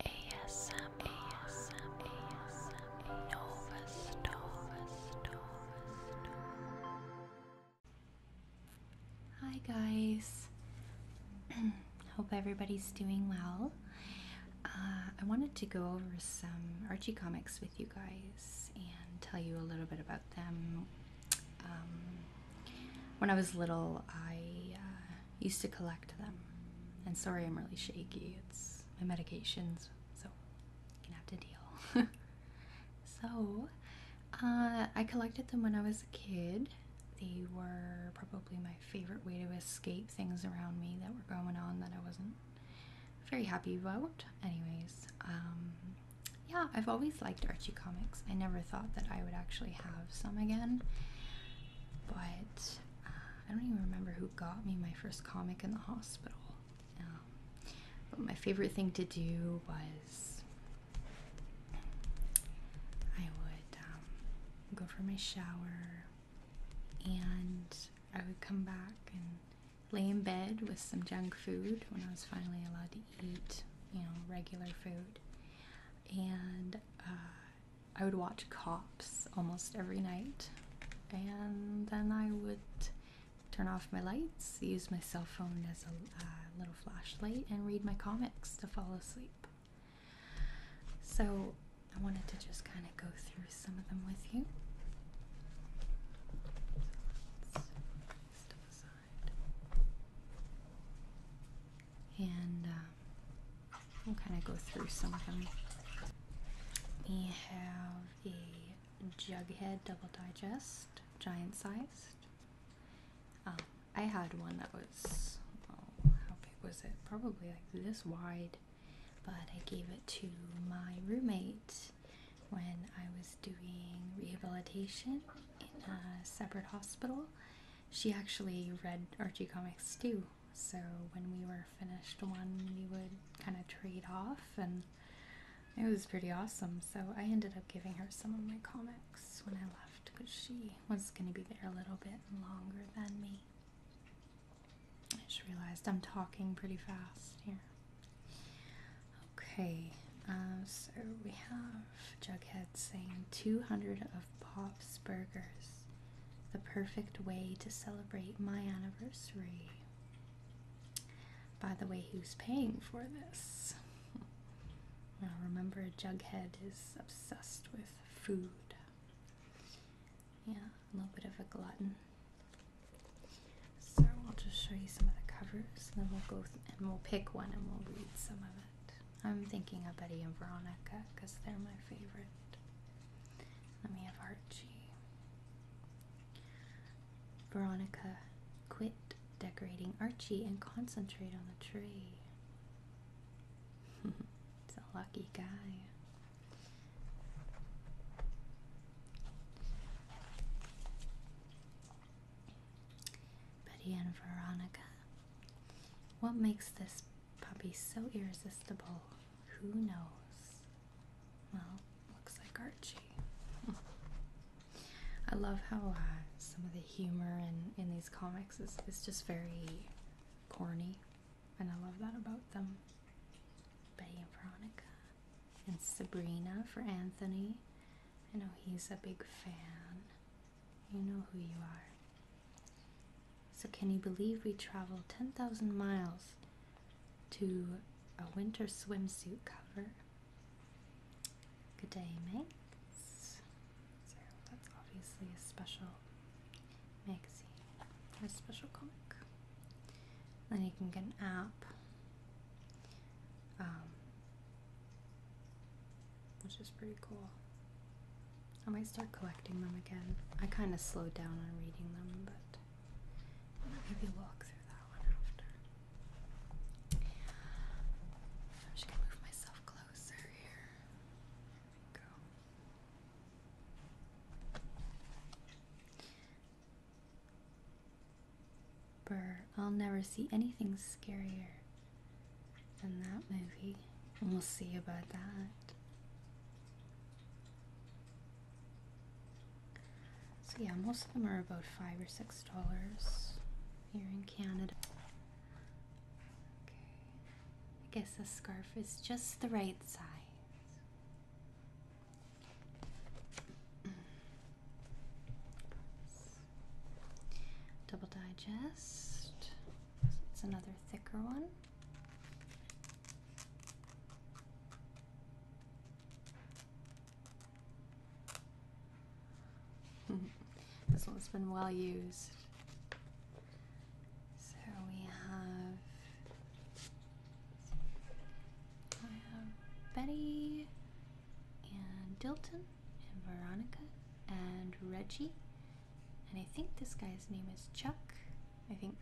ASM, ASM, ASM, Nova Nova Nova Hi guys. Hope everybody's doing well. Uh, I wanted to go over some Archie comics with you guys and tell you a little bit about them. Um, when I was little, I uh, used to collect them. And sorry, I'm really shaky. It's my medications, so I'm gonna have to deal. so, uh, I collected them when I was a kid. They were probably my favorite way to escape things around me that were going on that I wasn't very happy about. Anyways, um, yeah, I've always liked Archie comics. I never thought that I would actually have some again, but uh, I don't even remember who got me my first comic in the hospital. Um, but my favorite thing to do was I would um, go for my shower and I would come back and lay in bed with some junk food when I was finally allowed to eat, you know, regular food. And uh, I would watch Cops almost every night, and then I would turn off my lights, use my cell phone as a uh, little flashlight, and read my comics to fall asleep. So I wanted to just kind of go through some of them with you. And um, We'll kind of go through some of them. We have a Jughead Double Digest, giant sized. Um, I had one that was, how big was it? Probably like this wide, but I gave it to my roommate when I was doing rehabilitation in a separate hospital she actually read Archie comics too. So when we were finished one, we would kind of trade off, and it was pretty awesome. So I ended up giving her some of my comics when I left because she was going to be there a little bit longer than me. I just realized I'm talking pretty fast here. Okay, uh, so we have Jughead sang 200 of Pop's Burgers, the perfect way to celebrate my anniversary. By the way, who's paying for this? Now remember, Jughead is obsessed with food. Yeah, a little bit of a glutton. So I'll just show you some of the covers, and then we'll go and we'll pick one and we'll read some of it. I'm thinking of Betty and Veronica because they're my favorite. Let me have Archie. Veronica, quit decorating Archie and concentrate on the tree. it's a lucky guy. Betty and Veronica, what makes this puppy so irresistible? Who knows? Well, looks like Archie. I love how uh, some of the humor in, in these comics is, is just very corny, and I love that about them. Betty and Veronica, and Sabrina for Anthony. I know he's a big fan. You know who you are. So, can you believe we traveled 10,000 miles to a winter swimsuit cover? Good day, mates. So, that's obviously a special magazine, a special comic. Then you can get an app. Um, which is pretty cool. I might start collecting them again. I kind of slowed down on reading them, but I'll maybe walk through that one after. I'm just gonna move myself closer here. go. Brr, I'll never see anything scarier in that movie, and we'll see about that. So, yeah, most of them are about five or six dollars here in Canada. I guess this scarf is just the right size. Double Digest. It's another thicker one. this one's been well used. So we have. I have Betty, and Dilton and Veronica and Reggie. And I think this guy's name is Chuck. I think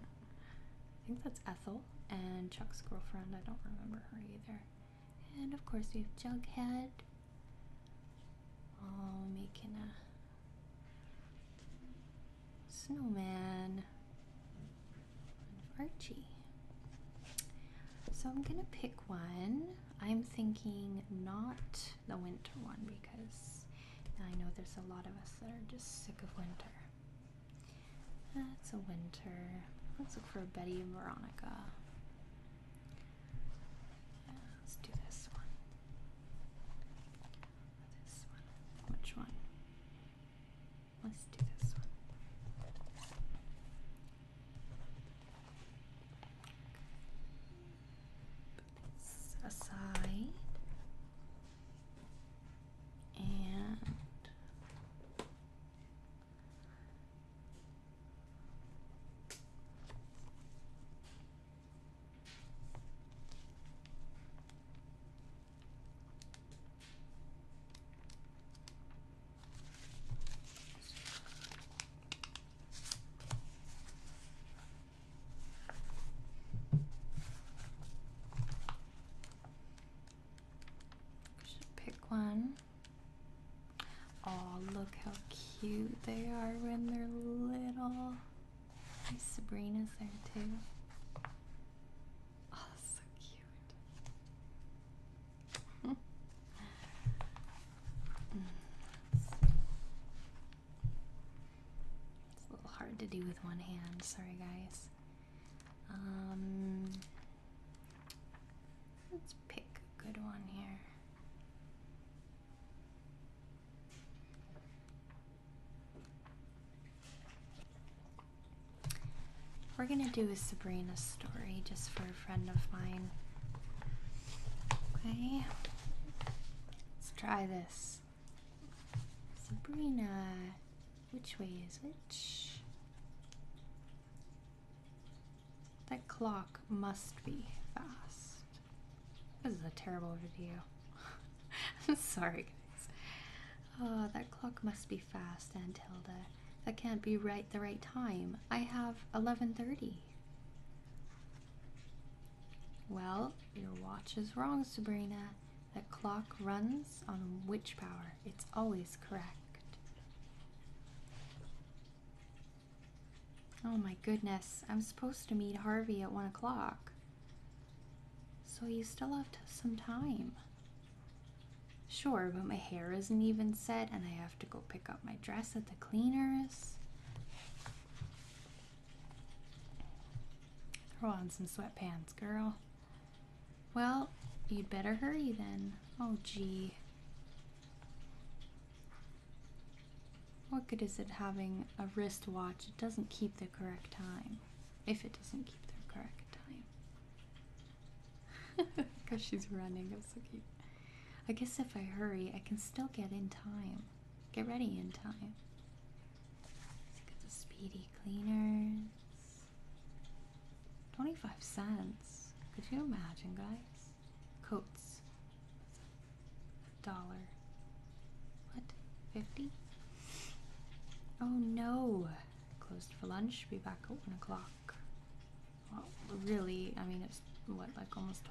I think that's Ethel and Chuck's girlfriend. I don't remember her either. And of course we have Jughead. Oh, making a snowman. Archie. So I'm gonna pick one. I'm thinking not the winter one because I know there's a lot of us that are just sick of winter. It's a winter. Let's look for Betty and Veronica. let's do this one. This one. Which one? Let's do this one aside and should pick one. Oh, look how cute they are when they're little. Hey, Sabrina's there too. Oh, so cute. It's a little hard to do with one hand, sorry guys. Um, let's pick a good one here. We're gonna do a Sabrina story just for friend of mine. Okay, let's try this. Sabrina, which way is which? That clock must be fast. This is a terrible video. I'm sorry, guys. Oh, that clock must be fast, Aunt Hilda. That can't be right the right time. I have 11.30. Well, your watch is wrong, Sabrina. That clock runs on witch power. It's always correct. Oh my goodness, I'm supposed to meet Harvey at 1 o'clock. So you still have some time. Sure, but my hair isn't even set and I have to go pick up my dress at the cleaners. Throw on some sweatpants, girl. Well, you'd better hurry then. Oh, gee. What good is it having a wristwatch? It doesn't keep the correct time. If it doesn't keep the correct time. Because she's running. That's so cute. I guess if I hurry, I can still get in time. Get ready in time. get the speedy cleaners. 25 cents. Could you imagine, guys? Coats. dollar. What? 50? Oh no! Closed for lunch. Be back at 1 o'clock well, really, I mean, it's what, like almost 12.30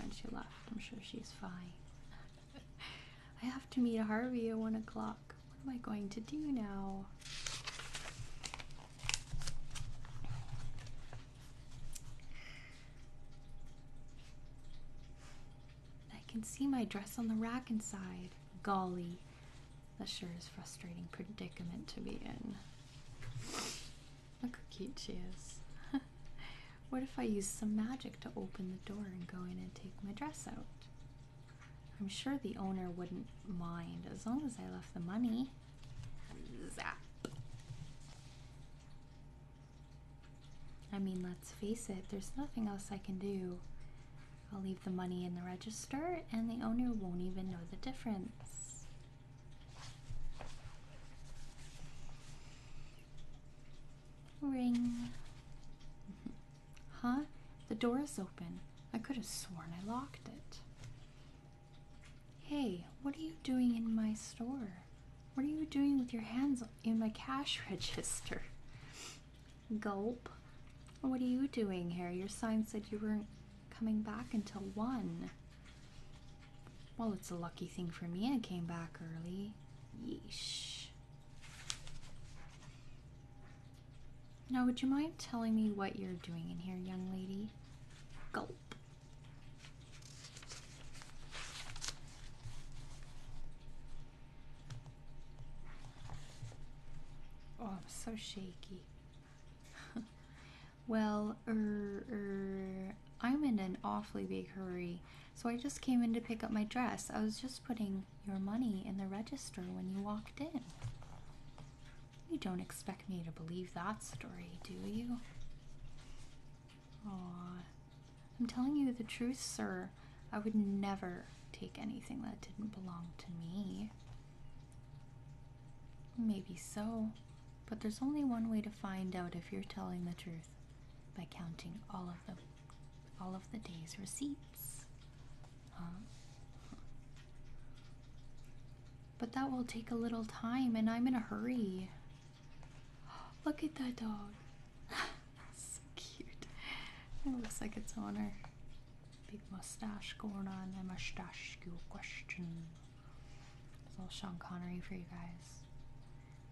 when she left. I'm sure she's fine. I have to meet Harvey at 1 o'clock. What am I going to do now? I can see my dress on the rack inside. Golly. That sure is frustrating predicament to be in. Look how cute she is. what if I use some magic to open the door and go in and take my dress out? I'm sure the owner wouldn't mind as long as I left the money. Zap. I mean, let's face it, there's nothing else I can do. I'll leave the money in the register, and the owner won't even know the difference. Ring. huh? The door is open. I could have sworn I locked it. Hey, what are you doing in my store? What are you doing with your hands in my cash register? Gulp. What are you doing here? Your sign said you weren't coming back until 1. Well, it's a lucky thing for me I came back early. Yeesh. Now, would you mind telling me what you're doing in here, young lady? Gulp. Oh, I'm so shaky. well, er, er, I'm in an awfully big hurry, so I just came in to pick up my dress. I was just putting your money in the register when you walked in. You don't expect me to believe that story, do you? I'm telling you the truth, sir. I would never take anything that didn't belong to me. Maybe so, but there's only one way to find out if you're telling the truth by counting all of the all of the day's receipts. Huh? But that will take a little time, and I'm in a hurry. Look at that dog. so cute. It looks like its owner. Big mustache going on. My mustache you question. It's all Sean Connery for you guys.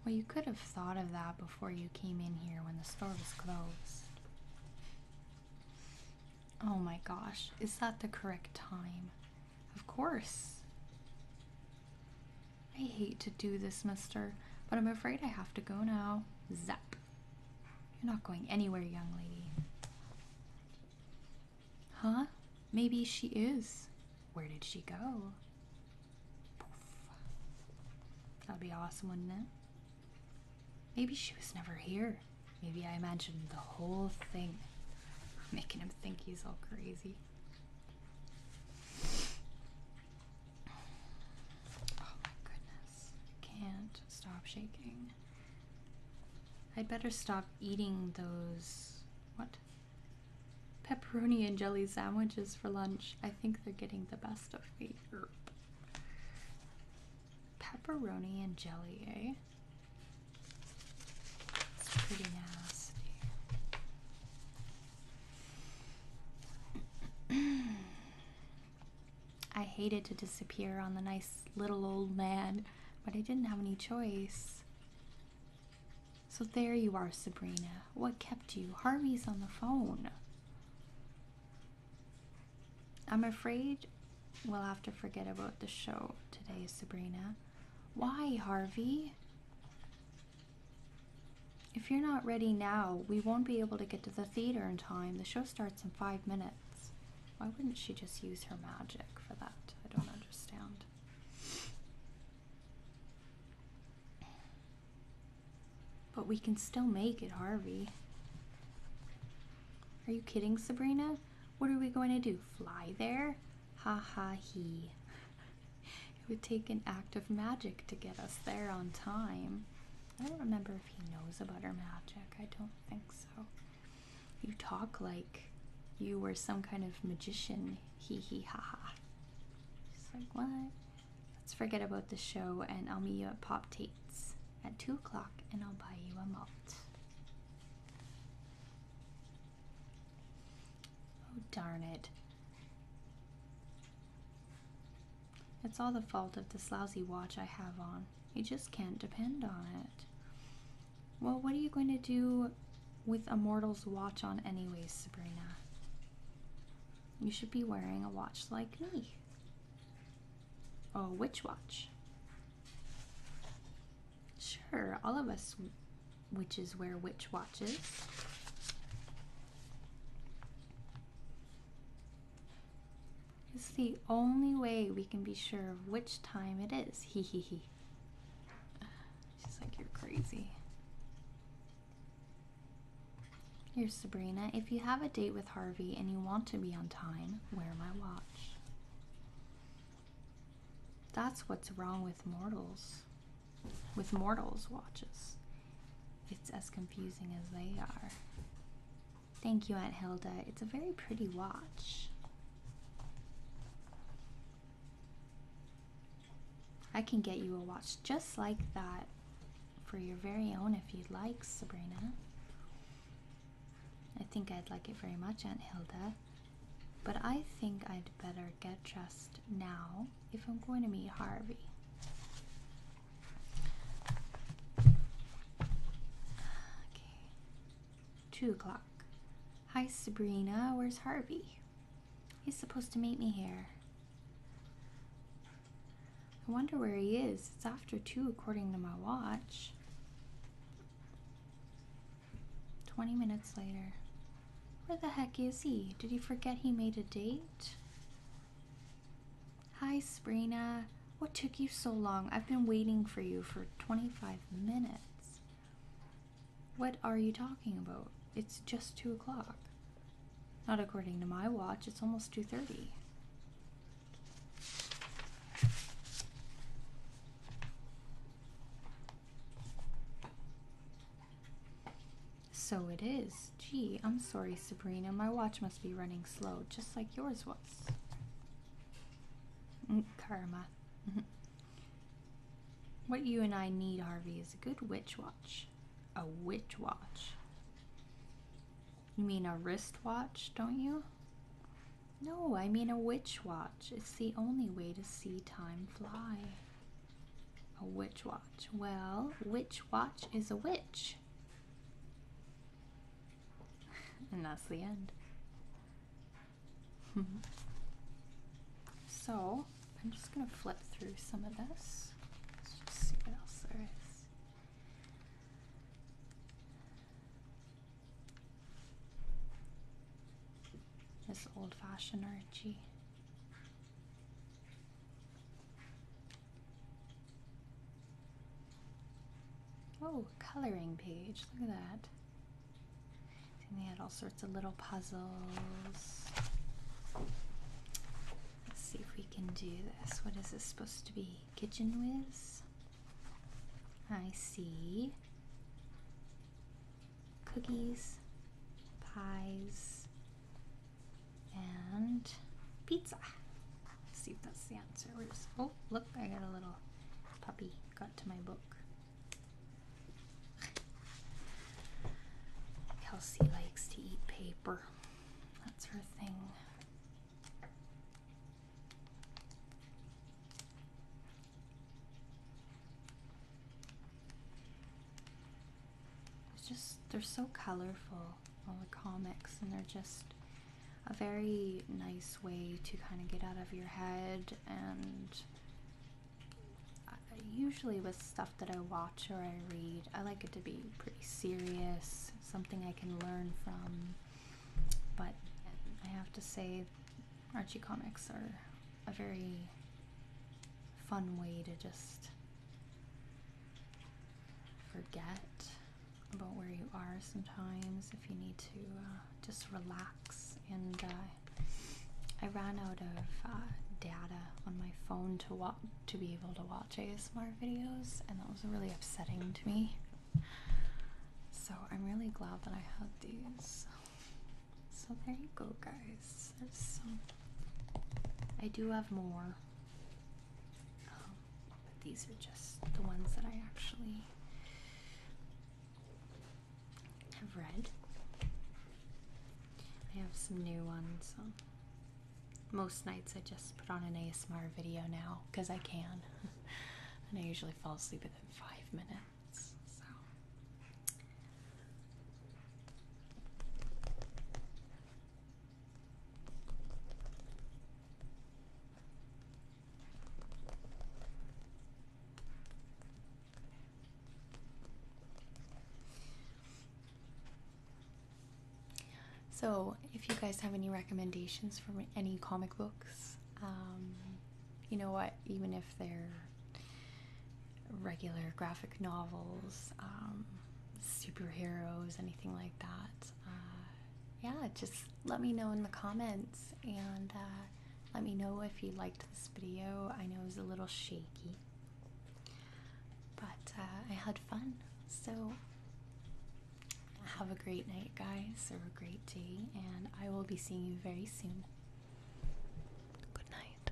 Well, you could have thought of that before you came in here when the store was closed. Oh my gosh, is that the correct time? Of course. I hate to do this, mister, but I'm afraid I have to go now. Zap. You're not going anywhere, young lady. Huh? Maybe she is. Where did she go? That'd be awesome, wouldn't it? Maybe she was never here. Maybe I imagined the whole thing, making him think he's all crazy. Oh my goodness. Can't stop shaking. I'd better stop eating those. What? Pepperoni and jelly sandwiches for lunch. I think they're getting the best of me. Pepperoni and jelly, eh? It's pretty nasty. I hated to disappear on the nice little old man, but I didn't have any choice. So there you are, Sabrina. What kept you? Harvey's on the phone. I'm afraid we'll have to forget about the show today, Sabrina. Why, Harvey? If you're not ready now, we won't be able to get to the theater in time. The show starts in five minutes. Why wouldn't she just use her magic for that? I don't understand. But we can still make it, Harvey. Are you kidding, Sabrina? What are we going to do? Fly there? Ha ha he. It would take an act of magic to get us there on time. I don't remember sure if he knows about her magic. I don't think so. You talk like you were some kind of magician. Hee hee ha ha. She's like, what? Let's forget about the show and I'll meet you at Pop Tate's at 2 o'clock and I'll buy you a malt. Oh, darn it. It's all the fault of this lousy watch I have on. You just can't depend on it. Well, what are you going to do with a mortal's watch on, anyways, Sabrina? You should be wearing a watch like me. Oh, which watch? Sure, all of us witches wear witch watches. It's the only way we can be sure of which time it is. Hee hee hee. She's like, you're crazy. Here, Sabrina. If you have a date with Harvey and you want to be on time, wear my watch. That's what's wrong with mortals. With mortals' watches. It's as confusing as they are. Thank you, Aunt Hilda. It's a very pretty watch. I can get you a watch just like that for your very own if you'd like, Sabrina. I think I'd like it very much, Aunt Hilda. But I think I'd better get dressed now if I'm going to meet Harvey. Two o'clock. Hi, Sabrina. Where's Harvey? He's supposed to meet me here. I wonder where he is. It's after two, according to my watch. 20 minutes later. Where the heck is he? Did he forget he made a date? Hi, Sprina. What took you so long? I've been waiting for you for 25 minutes. What are you talking about? It's just 2 o'clock. Not according to my watch, it's almost 2.30. So it is. Gee, I'm sorry, Sabrina. My watch must be running slow, just like yours was. Mm, karma. Mm-hmm. what you and I need, Harvey, is a good witch watch. A witch watch? You mean a wrist watch, don't you? No, I mean a witch watch. It's the only way to see time fly. A witch watch. Well, witch watch is a witch. and that's the end. so, I'm just going to flip through some of this. Let's just see what else there is. This old fashioned Archie. Oh, coloring page. Look at that. And they had all sorts of little puzzles. Let's see if we can do this. What is this supposed to be? Kitchen whiz? I see. Cookies, pies, and pizza. Let's see if that's the answer. oh look, I got a little puppy got to my book. Kelsey likes to eat paper. That's her thing it's just they're so colorful all the comics and they're just a very nice way to kind of get out of your head and usually with stuff that I watch or I read I like it to be pretty serious something I can learn from but I have to say Archie comics are a very fun way to just forget about where you are sometimes if you need to uh, just relax and uh, I ran out of uh, data on my phone to watch to be able to watch ASMR videos and that was really upsetting to me so I'm really glad that I had these so there you go guys I do have more, um, but these are just the ones that I actually have read. I have some new ones. Um, most nights I just put on an ASMR video now because I can, and I usually fall asleep within five minutes. So. So, if you guys have any recommendations for any comic books, um, you know what, even if they're regular graphic novels, um, superheroes, anything like that. Uh, yeah, just let me know in the comments and uh, let me know if you liked this video. I know it was a little shaky, but uh, I had fun. So have a great night, guys, or a great day, and I will be seeing you very soon. Good night.